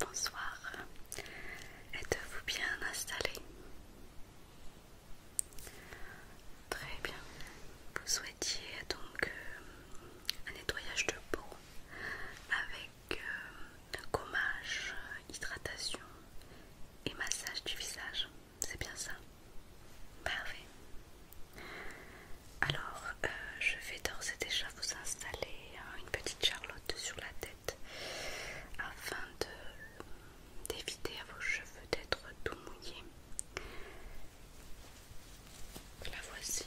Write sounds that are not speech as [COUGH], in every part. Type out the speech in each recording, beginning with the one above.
Bonsoir, êtes-vous bien installé Très bien, vous souhaitiez donc euh, un nettoyage de peau avec euh, gommage, hydratation et massage du visage. C'est bien ça Parfait. Alors, euh, je vais d'ores et déjà vous installer hein, une petite charlotte sur la tête afin d'éviter à vos cheveux d'être tout mouillés. La voici.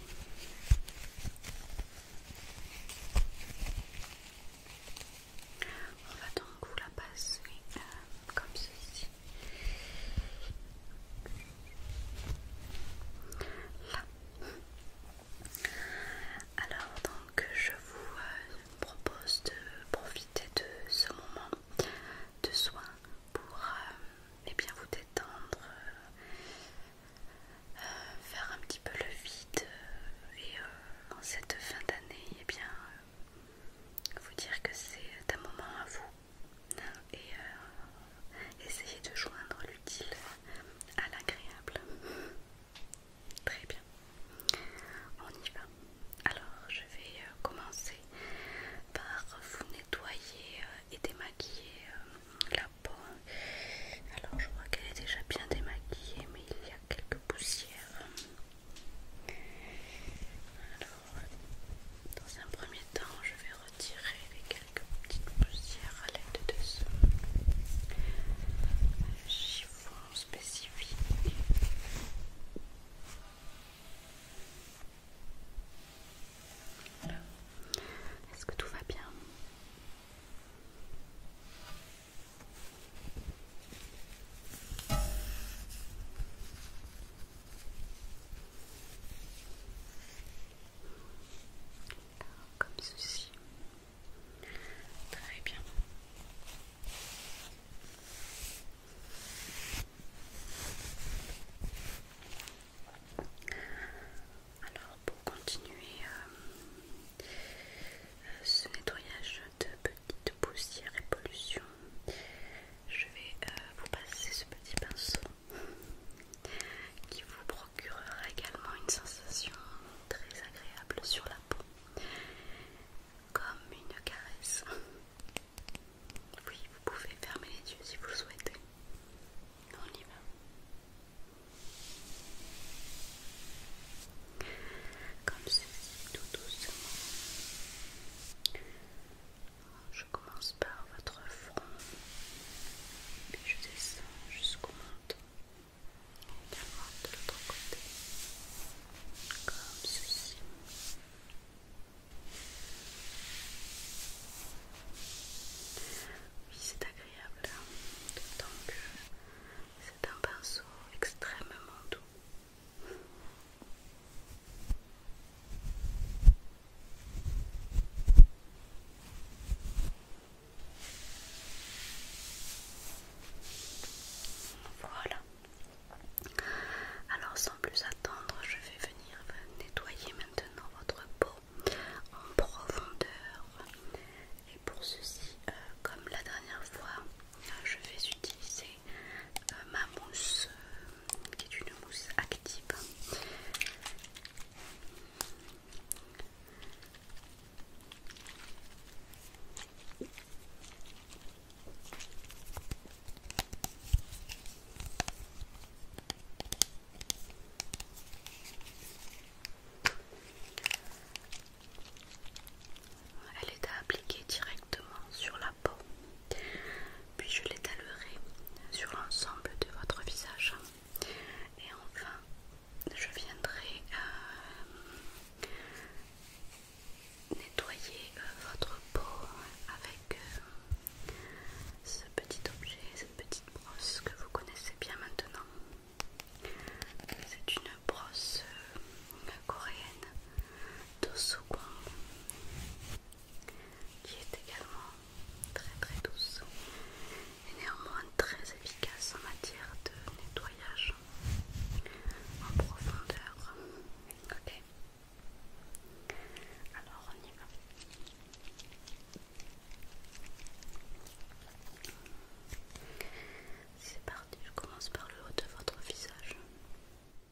On va donc vous la passer euh, comme ceci. Alors donc je vous euh, propose de profiter de ce moment de soin pour euh, eh bien vous détendre, euh, faire un petit peu le vide et en cette fin d'année eh bien vous dire que c'est un moment à vous et euh, essayer de joindre l'utile à l'agréable. Très bien, on y va. Alors, je vais euh, commencer par vous nettoyer euh, et démaquiller la peau. Alors, je vois qu'elle est déjà bien démaquillée, mais il y a quelques poussières. Dans un premier temps, je vais retirer les quelques petites poussières à l'aide de ce chiffon spécifique. Est-ce que tout va bien comme ceci. Très bien. Alors pour continuer euh, ce nettoyage de petites poussières et pollutions, je vais euh, vous passer ce petit pinceau qui vous procurera également une sensation très agréable sur la peau, comme une caresse. Oui, vous pouvez fermer les yeux si vous le souhaitez. On y va. Comme ceci, tout doucement. Je commence par votre front, puis je descends jusqu'au menton, également de l'autre côté, comme ceci. Oui, c'est agréable, hein, d'autant que c'est un pinceau extrêmement doux. Voilà. Alors sans plus attendre, je vais venir nettoyer maintenant votre peau en profondeur. Et pour ceci, euh, comme la dernière fois, euh, je vais utiliser euh, ma mousse qui est une mousse active. Elle est à appliquer directement sur la puis je l'étalerai sur l'ensemble de votre visage. Et enfin, je viendrai euh, nettoyer euh, votre peau avec euh, ce petit objet, cette petite brosse que vous connaissez bien maintenant. C'est une brosse coréenne qui est également très très douce et néanmoins très efficace en matière de nettoyage en profondeur. Ok, alors on y va. C'est parti, je commence par le haut de votre visage.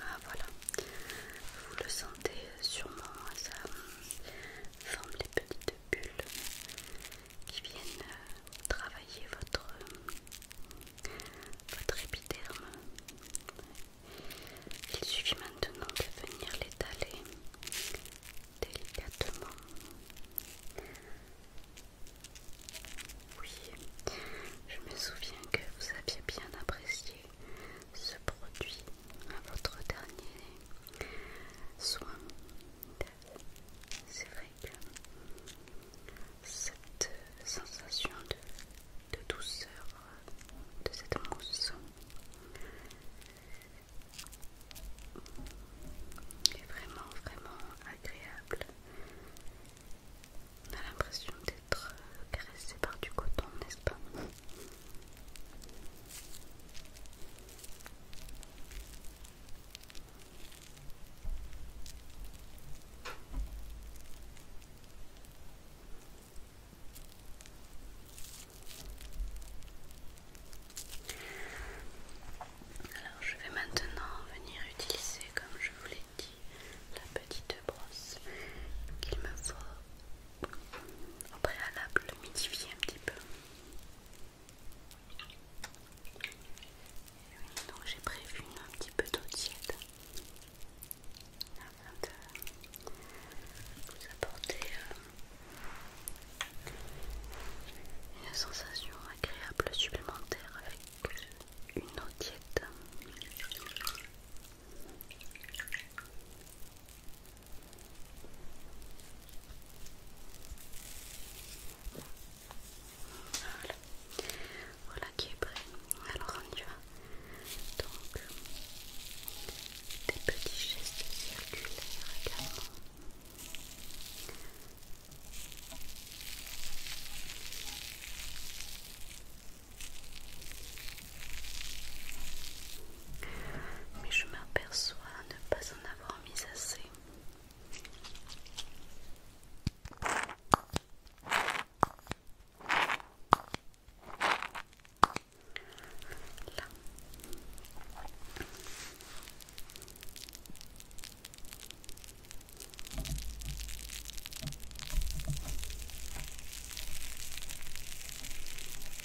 Ah voilà, vous le sentez sûrement, ça, les petites bulles qui viennent euh, travailler votre, votre épiderme. Il suffit maintenant de venir l'étaler délicatement. Oui, je me souviens que vous aviez bien apprécié ce produit à votre dernier soin. C'est vrai que cette sensation de, douceur de cette mousse est vraiment vraiment agréable. On a l'impression d'être caressé par du coton, n'est-ce pas alors je vais maintenant venir utiliser, comme je vous l'ai dit, la petite brosse qu'il me faut au préalable le un petit peu. donc j'ai prévu un petit peu d'eau tiède afin de vous apporter euh, une sensation agréable supplémentaire avec une eau tiède. Voilà. voilà qui est prêt. Alors on y va. Donc des petits gestes circulaires également mais je m'aperçois ne pas en avoir mis assez.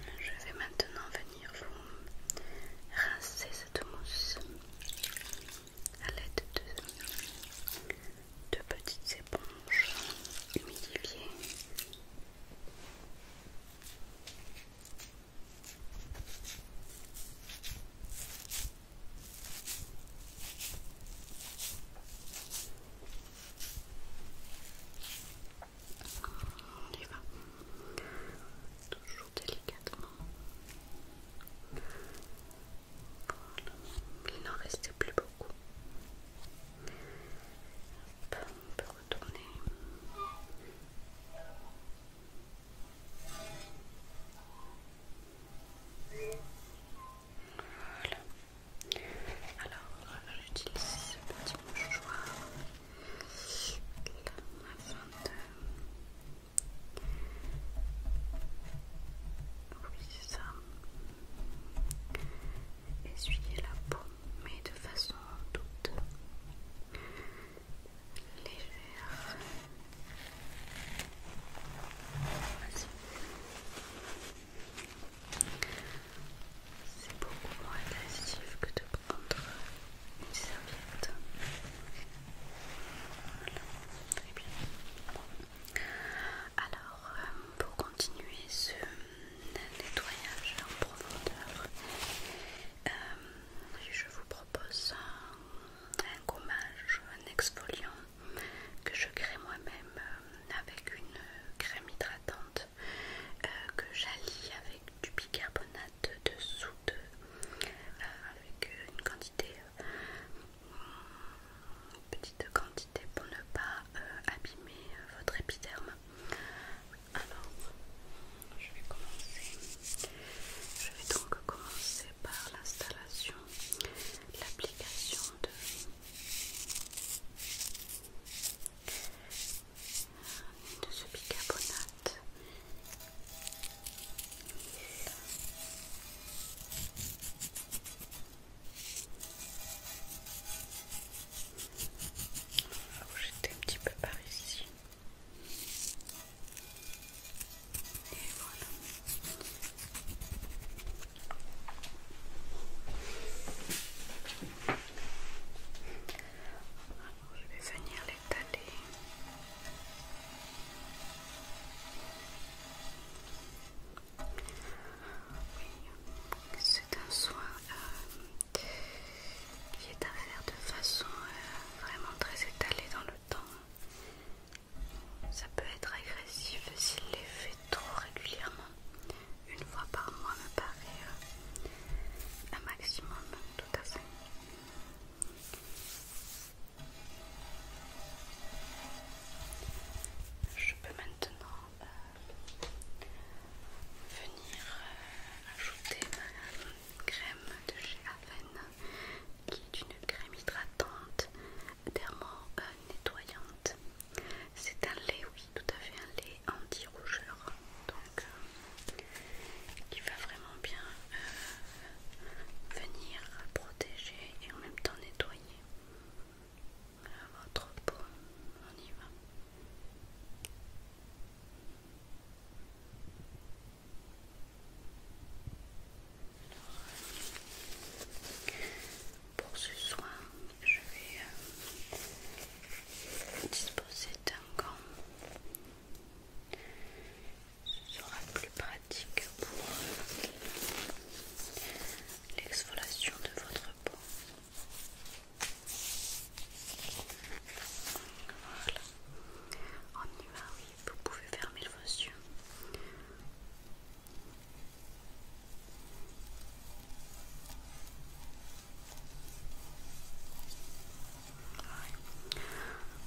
Je vais maintenant venir vous rincer cette mousse à l'aide de, de petites éponges humidifiées. On y va toujours délicatement. Il n'en reste plus beaucoup. On peut retourner. Voilà. Alors, j'utilise ce petit mouchoir afin de. Oui, c'est ça. Essuyer la peau, mais de façon toute légère. C'est beaucoup moins agressif que de prendre une serviette. Alors, euh, pour continuer ce nettoyage en profondeur, euh, je vous propose propose un, gommage, un exfoliant que je crée moi-même euh, avec une crème hydratante euh, que j'allie avec du bicarbonate de soude euh, avec une quantité petite quantité pour ne pas abîmer votre épiderme alors je vais commencer. Je vais donc commencer par l'installation, l'application de ce bicarbonate. Je un petit peu par ici je vais venir l'étaler. Oui, c'est un soin euh, qui est à faire de façon euh, vraiment très étalée dans le. Ça peut être agressif s'il les fait trop régulièrement. Une fois par mois me paraît euh, un maximum, tout à Je peux maintenant euh, venir euh, ajouter ma crème de chez Aven qui est une crème hydratante thermo-nettoyante. Euh, C'est un lait, oui, tout à fait un lait anti-rougeur, donc euh, qui va vraiment bien euh, venir protéger et en même temps nettoyer votre peau. On y va pour ce soin, je vais euh, disposer d'un gant. Ce sera plus pratique pour euh, l'exfoliation de votre peau. Voilà, on y va. Oui vous pouvez fermer vos yeux.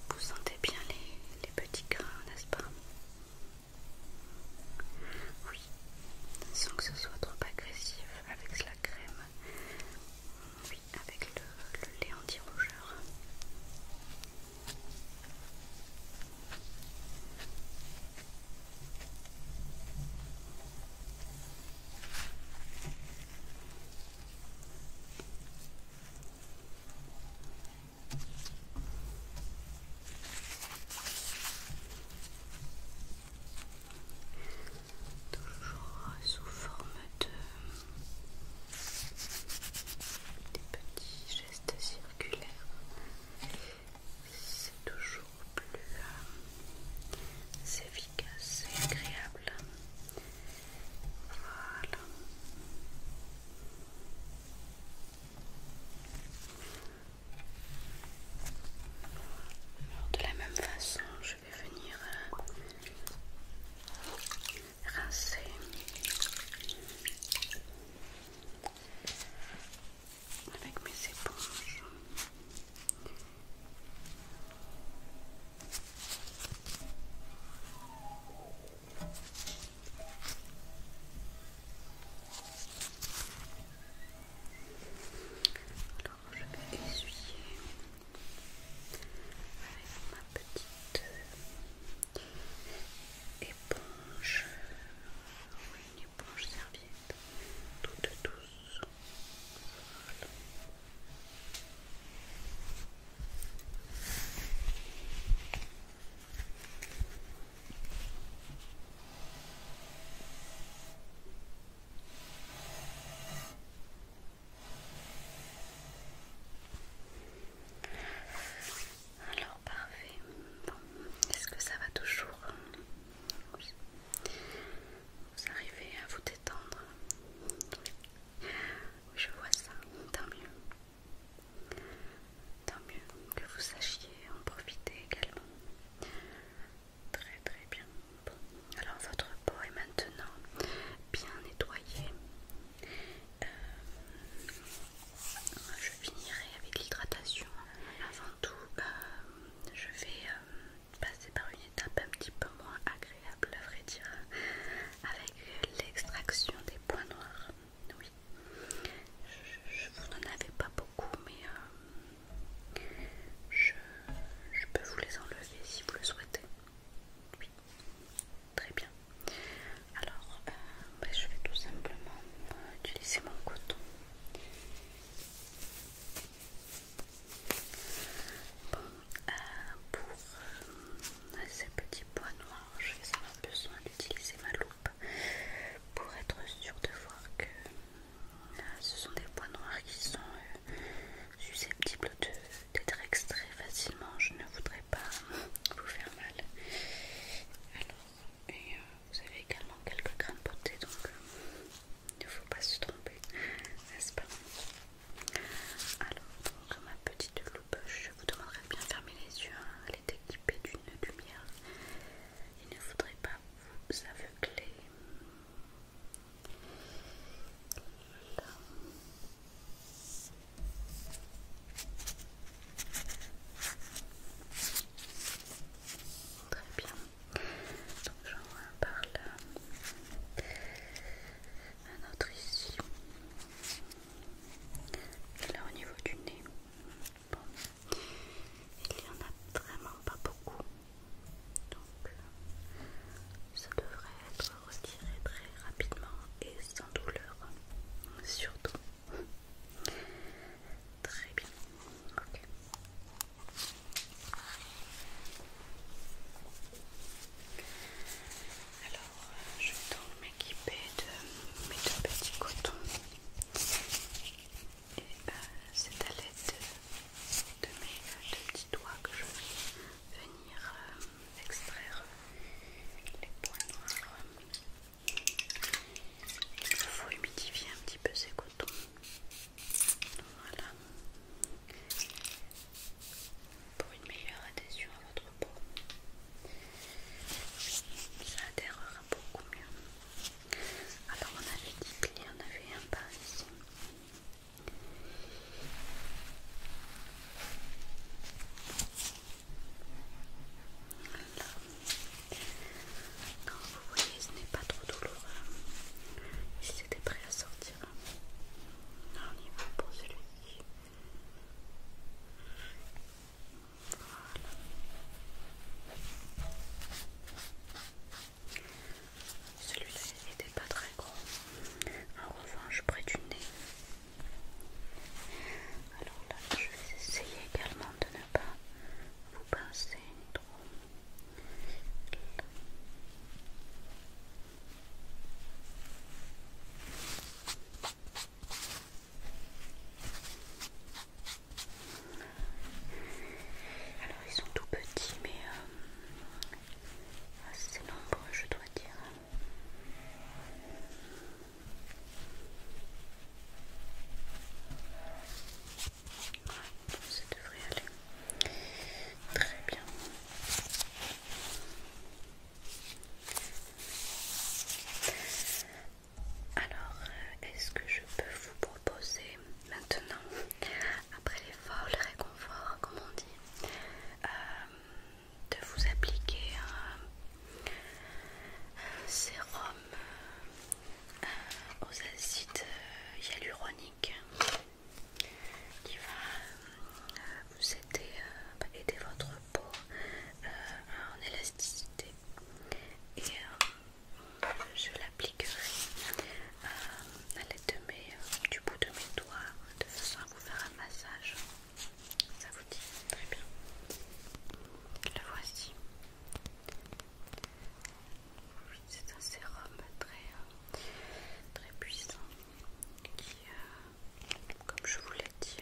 Vous sentez bien les, les petits grains, n'est-ce pas Oui, sans que ce soit trop agressif avec la crème avec le, lait anti-rougeur. Toujours sous forme de des petits gestes circulaires, c'est toujours plus euh, efficace et agréable. Voilà. de la même façon, je vais venir euh, rincer. Avec mes éponges. Alors je vais essuyer avec ma petite éponge, oui, une éponge serviette, toute douce. Voilà. Alors parfait. est-ce que ça va toujours Vous arrivez à vous détendre oui. Je vois ça. Tant mieux. Tant mieux que vous sachiez en profiter également. Très très bien. Alors votre peau est maintenant bien nettoyée. Euh, je finirai avec l'hydratation. Avant tout, euh, je vais euh, passer par une étape un petit peu moins agréable, à vrai dire, avec l'extraction des points noirs. Oui, je, vous n'en avez pas beaucoup, mais je, peux vous les enlever si vous le souhaitez. Très bien. Alors, euh, ben, je vais tout simplement utiliser mon coton. Bon, euh, pour euh, ces petits points noirs, je vais avoir besoin d'utiliser ma loupe pour être sûr de voir que ce sont des points noirs qui sont susceptible d'être extrait facilement. Je ne voudrais pas [LAUGHS] vous faire mal. Alors, et euh, vous avez également quelques grains de beauté, donc euh, il ne faut pas se tromper, n'est-ce pas Alors, ma petite loupe, je vous demanderai de bien fermer les yeux. Hein. Elle est équipée d'une lumière. Il ne faudrait pas vous aveugler. Très bien. Donc j'en vois un autre ici. Et là au niveau du nez. Bon. Il y en a vraiment pas beaucoup. Donc ça devrait être respirer très rapidement et sans douleur, surtout. Très bien. ok Alors, je vais donc m'équiper de mes deux petits cotons. Et c'est à l'aide de, mes deux petits doigts que je vais venir euh, extraire les points noirs. Il faut humidifier un petit peu ces cotons. Voilà. Pour une meilleure adhésion à votre peau. Ça adhérera beaucoup mieux. Alors on avait dit qu'il y en avait un par ici. Non, vous voyez, ce n'est pas trop douloureux. Si s'était prêt à sortir. Hein. on y va pour celui-ci. Celui-là n'était pas très gros, En revanche, près du nez. Alors là, je vais essayer également de ne pas vous pincer trop. Alors ils sont tout petits mais euh, assez ah, nombreux, je dois dire. Ouais, ça devrait aller très bien. Alors, euh, est-ce que je peux vous proposer maintenant, après les le réconfort, comme on dit, euh, de vous appliquer un, sérum euh, aux acides euh, hyaluroniques qui va vous aider, votre peau en élasticité et je l'appliquerai à euh, l'aide de euh, du bout de mes doigts de façon à vous faire un massage. Ça vous dit Très bien. Le voici. C'est un sérum très, euh, très puissant qui, comme je vous l'ai dit,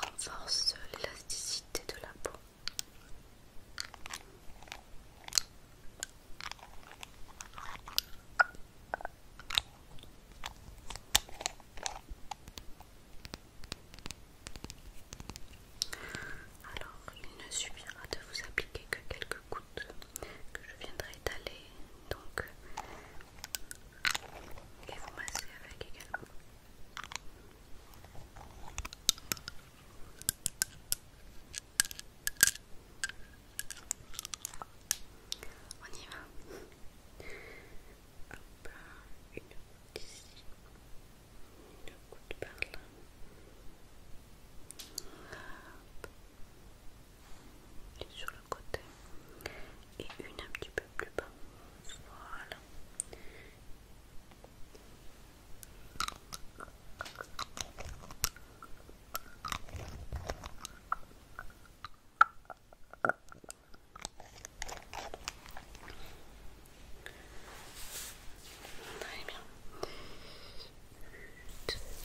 renforce l'élasticité de la peau. Alors, il ne suffira de vous appliquer que quelques gouttes que je viendrai étaler, donc et vous masser avec également. On y va. Hop, une goutte ici, une goutte par là. sur le côté. Et une un petit peu plus bas. Voilà. Très bien.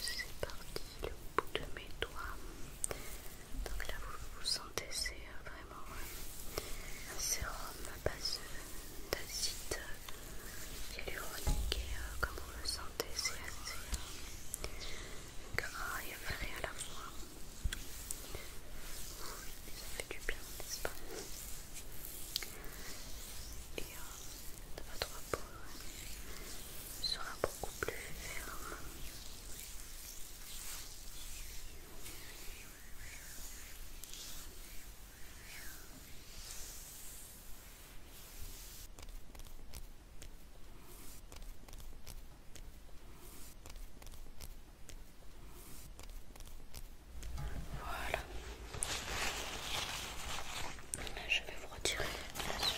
C'est parti, le bout de mes doigts. Donc là, vous, sentez, c'est euh, vraiment euh, un sérum à base d'acide hyaluronique euh, vous sentez, c'est assez gras et frais à la fois. Ça fait du bien, n'est-ce pas Et votre peau sera beaucoup plus ferme. Voilà. Je vais vous retirer la plus.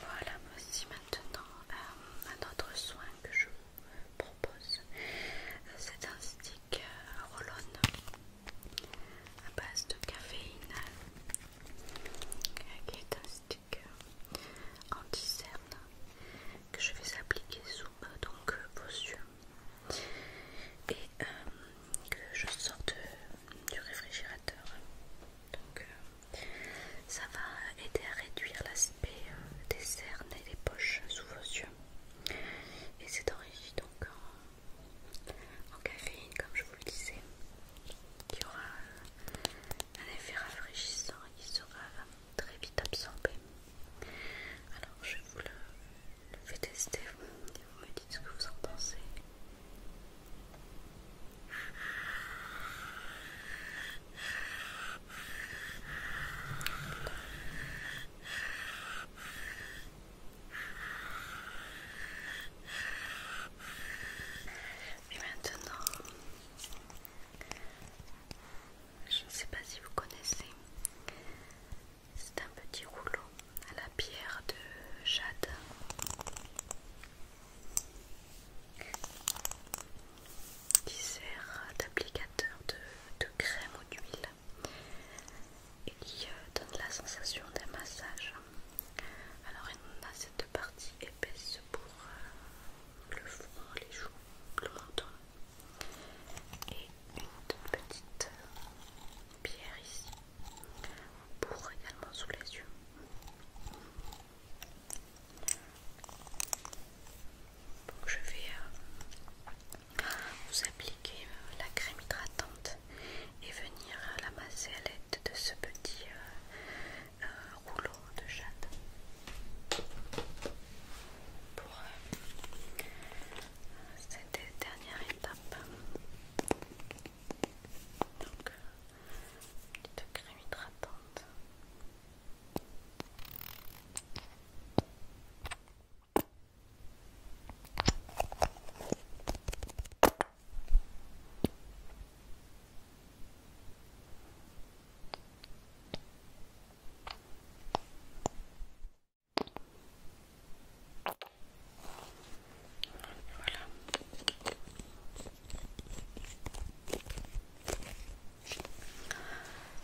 Voilà, voici maintenant euh, un autre soin que je vous propose. Euh, c'est un stick euh, roll à base de caféine qui est un stick anti-cerne que je vais appliquer sous donc, euh, vos yeux et euh, que je sorte euh, du réfrigérateur donc ça va aider à réduire l'aspect des cernes et des poches sous vos yeux et c'est enrichi donc en caféine, comme je vous le disais, y aura euh, un effet rafraîchissant et qui sera euh, très vite absorbé. Alors, je vous le, fais tester, vous me dites ce que vous en pensez. Et maintenant, je ne sais pas si vous connaissez, c'est un petit rouleau à la pierre de jade. Qui sert d'applicateur de, de crème ou d'huile et euh, qui donne la sensation d'un massage. Alors on a cette partie épaisse pour euh, le front, les joues, le menton et une petite pierre ici pour également sous les yeux. Donc je vais euh, vous appliquer la crème hydratante et venir l'amasser à l'aide de ce petit euh, euh, rouleau de jade pour euh, cette dernière étape. Donc, petite crème hydratante. Voilà.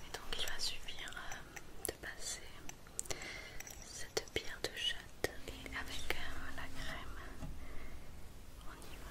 Et donc il va suffire euh, de passer de pierre de chatte et avec euh, la crème, on y va.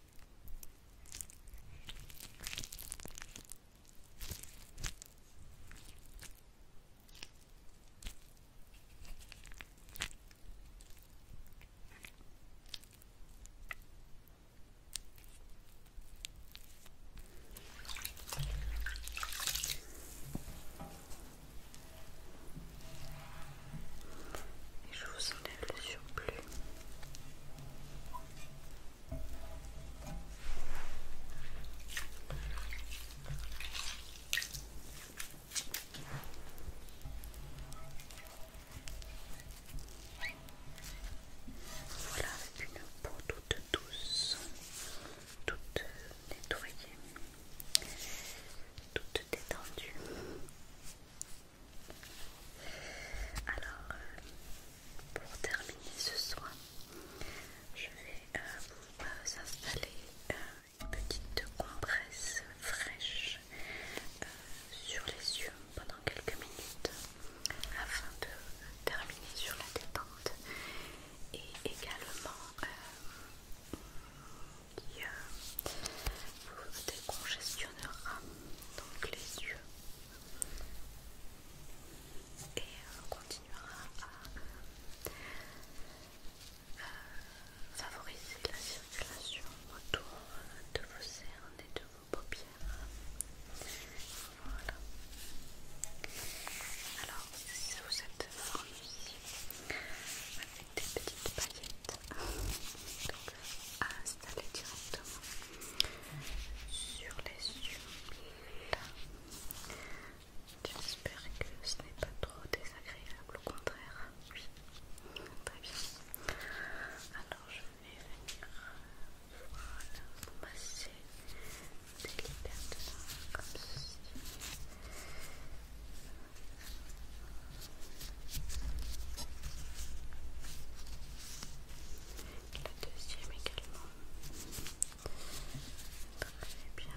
je vous enlève le surplus. Voilà, une peau toute douce, toute nettoyée, toute détendue. Alors, euh, pour terminer ce soin, je vais euh, vous installer euh, une petite compresse fraîche sur les yeux pendant quelques minutes afin de terminer sur la détente et également qui vous décongestionnera donc les yeux et euh, on continuera à euh, favoriser la circulation autour de vos cernes et de vos paupières. Voilà. Alors, si vous êtes ici avec des petites paillettes, euh, aller directement sur les yeux. Là, j'espère que ce n'est pas trop désagréable, au contraire. Oui, très bien. Alors, je vais venir voilà, vous masser délicatement comme ceci la deuxième également. Très Très bien.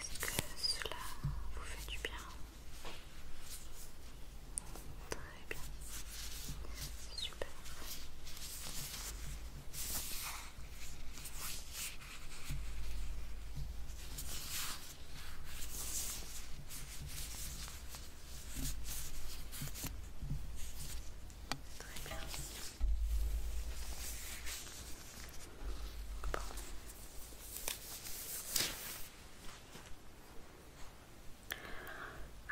Est-ce que cela vous fait du bien Très bien. Super. Très bien.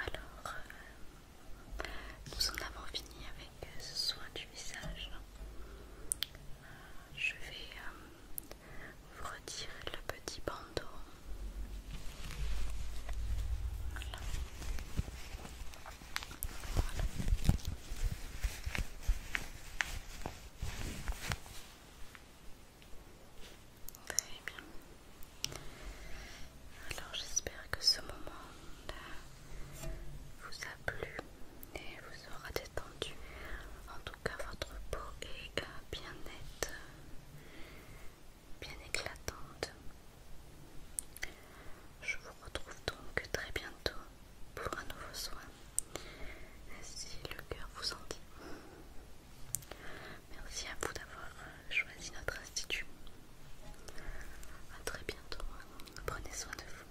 Alors, euh, nous en avons fini avec euh, ce soin du visage. Euh, je vais vous retirer le petit bandeau. Très bien. Alors j'espère que ce moment vous a plu et vous aura détendu. En tout cas votre peau est euh, bien nette, bien éclatante. Je vous retrouve donc très bientôt pour un nouveau soin, si le cœur vous en dit. Merci à vous d'avoir choisi notre institut. A très bientôt. Prenez soin de vous.